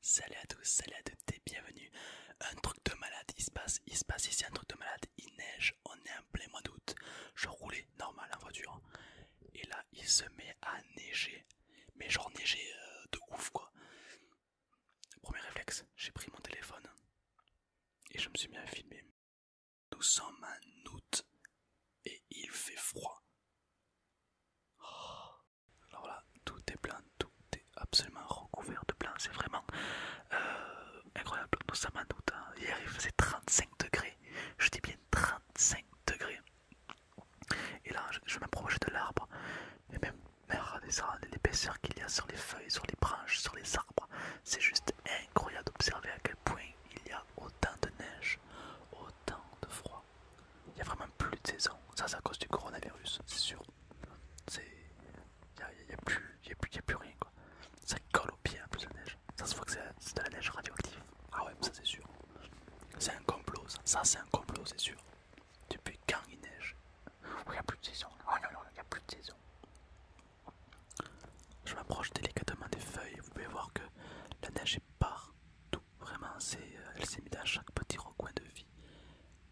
Salut à tous, salut à toutes et bienvenue. Un truc de malade, il se passe, il se passe ici un truc de malade, il neige, on est en plein mois d'août. Je roulais normal en voiture et là il se met à neiger, mais genre neiger euh, de ouf quoi. Premier réflexe, j'ai pris mon téléphone et je me suis mis à filmer. Nous sommes en août et il fait froid. Oh. Alors tout est blanc, tout est absolument recouvert de blanc, c'est vraiment euh, incroyable. incroyable. ça m'a doute. hier il faisait 35 degrés, je dis bien 35 degrés. Et là, je, m'approche de l'arbre, mais même, regardez l'épaisseur qu'il y a sur les feuilles, sur les branches, sur les arbres, c'est juste incroyable d'observer à quel point il y a autant de neige, tant de froid. Il n'y a vraiment plus de saison. Ça, c'est à cause du coronavirus, c'est sûr. Il n'y a, plus, y a, plus, y a plus rien. Quoi. Ça colle au pied en hein, plus la neige. Ça se voit que c'est de la neige radioactive. Ah ouais, ça c'est sûr. C'est un complot, ça. c'est un complot, c'est sûr. Depuis quand il neige Il n'y a plus de saison. Oh non, non, il n'y a plus de saison. Je m'approche délicatement des feuilles. Vous pouvez voir que la neige est partout. Vraiment, euh, elle s'est mise à chaque petit recoin de vie.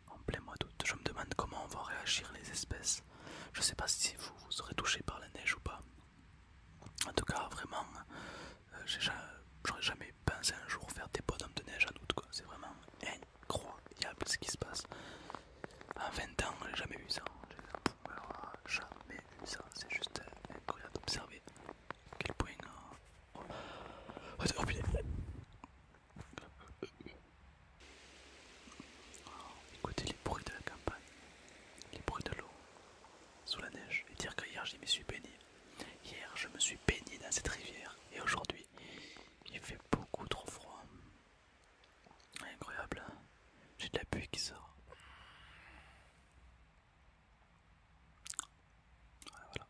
En plein mois d'août, je me demande comment vont réagir les espèces. Je ne sais pas si vous, vous serez touché par la neige ou pas. En tout cas, vraiment, euh, j'aurais jamais pensé un jour faire des bonhommes de neige à' août. C'est vraiment incroyable ce qui se passe. En 20 ans, j'ai jamais vu ça jamais ça, c'est juste euh, incroyable d'observer quel point... Euh, oh, oh Écoutez les bruits de la campagne, les bruits de l'eau, sous la neige, et dire que hier je me suis baigné. Hier je me suis baigné dans cette rivière, et aujourd'hui il fait beaucoup trop froid. Incroyable, j'ai de la pluie qui sort. Voilà,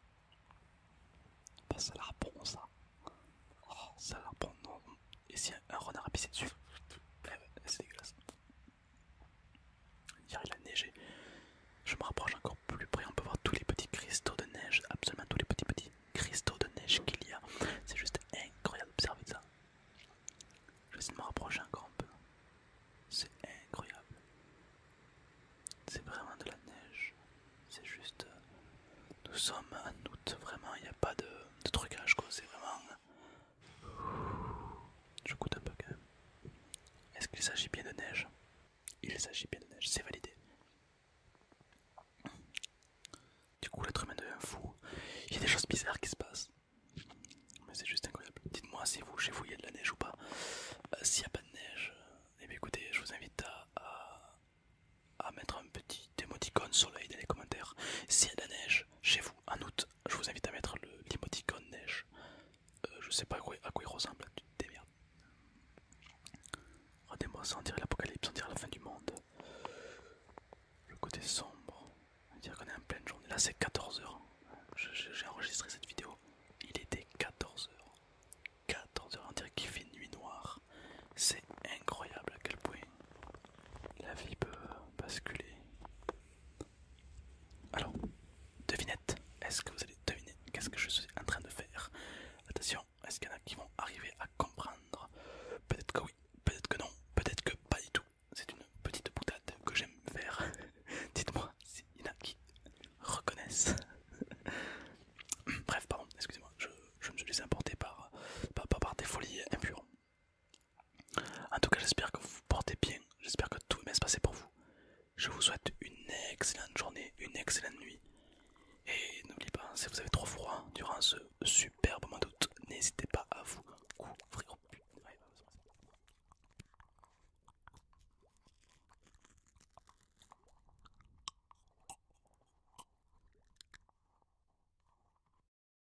bah, ça la bon ça. Oh, ça la non. Et si un, renard a pissé dessus, eh c'est dégueulasse. Hier il a neigé. Je me rapproche encore plus près, on peut voir tous les petits cristaux de neige, absolument tous les petits petits cristaux de neige qu'il y a. C'est juste incroyable observez ça. Je vais essayer de me rapprocher encore un peu. C'est incroyable. C'est vraiment de la neige. C'est juste. Euh, nous sommes en août, vraiment, il n'y a pas de, de trucage quoi, c'est vraiment. Je coûte un peu quand même. Est-ce qu'il s'agit bien de neige Il s'agit bien de neige, c'est validé. Du coup, l'être humain devient fou. Il y a des choses bizarres qui se passent. Mais c'est juste incroyable. Dites-moi si vous, chez vous, il y a de la neige ou pas. Euh, s'il n'y a pas de neige, et eh écoutez, je vous invite à, mettre un petit émoticône soleil dans les commentaires. S'il y a de la neige chez vous en août, je vous invite à mettre le l'émoticône neige. je euh, je sais pas à quoi, à quoi il ressemble, tu te Regardez-moi sentir l'apocalypse, dirait la fin du monde. Le côté sombre. on Dire qu'on est en pleine journée. Là c'est 14h. J'ai enregistré cette vidéo. Il était 14h. 14h, on dirait qu'il fait nuit noire. C'est incroyable à quel point la vie peut basculer alors, devinette, est-ce que vous allez deviner qu'est-ce que je suis en train de faire Attention, est-ce qu'il y en a qui vont arriver à comprendre Peut-être que oui, peut-être que non, peut-être que pas du tout. C'est une petite boutade que j'aime faire. Dites-moi s'il y en a qui reconnaissent. Bref, pardon, excusez-moi, je, me suis laissé emporter par, par, par des folies impures. En tout cas, j'espère que vous vous portez bien. J'espère que tout va bien se passer pour vous. Je vous souhaite une excellente journée, une excellente nuit. Et n'oubliez pas, si vous avez trop froid durant ce superbe mois d'août, n'hésitez pas à vous couvrir.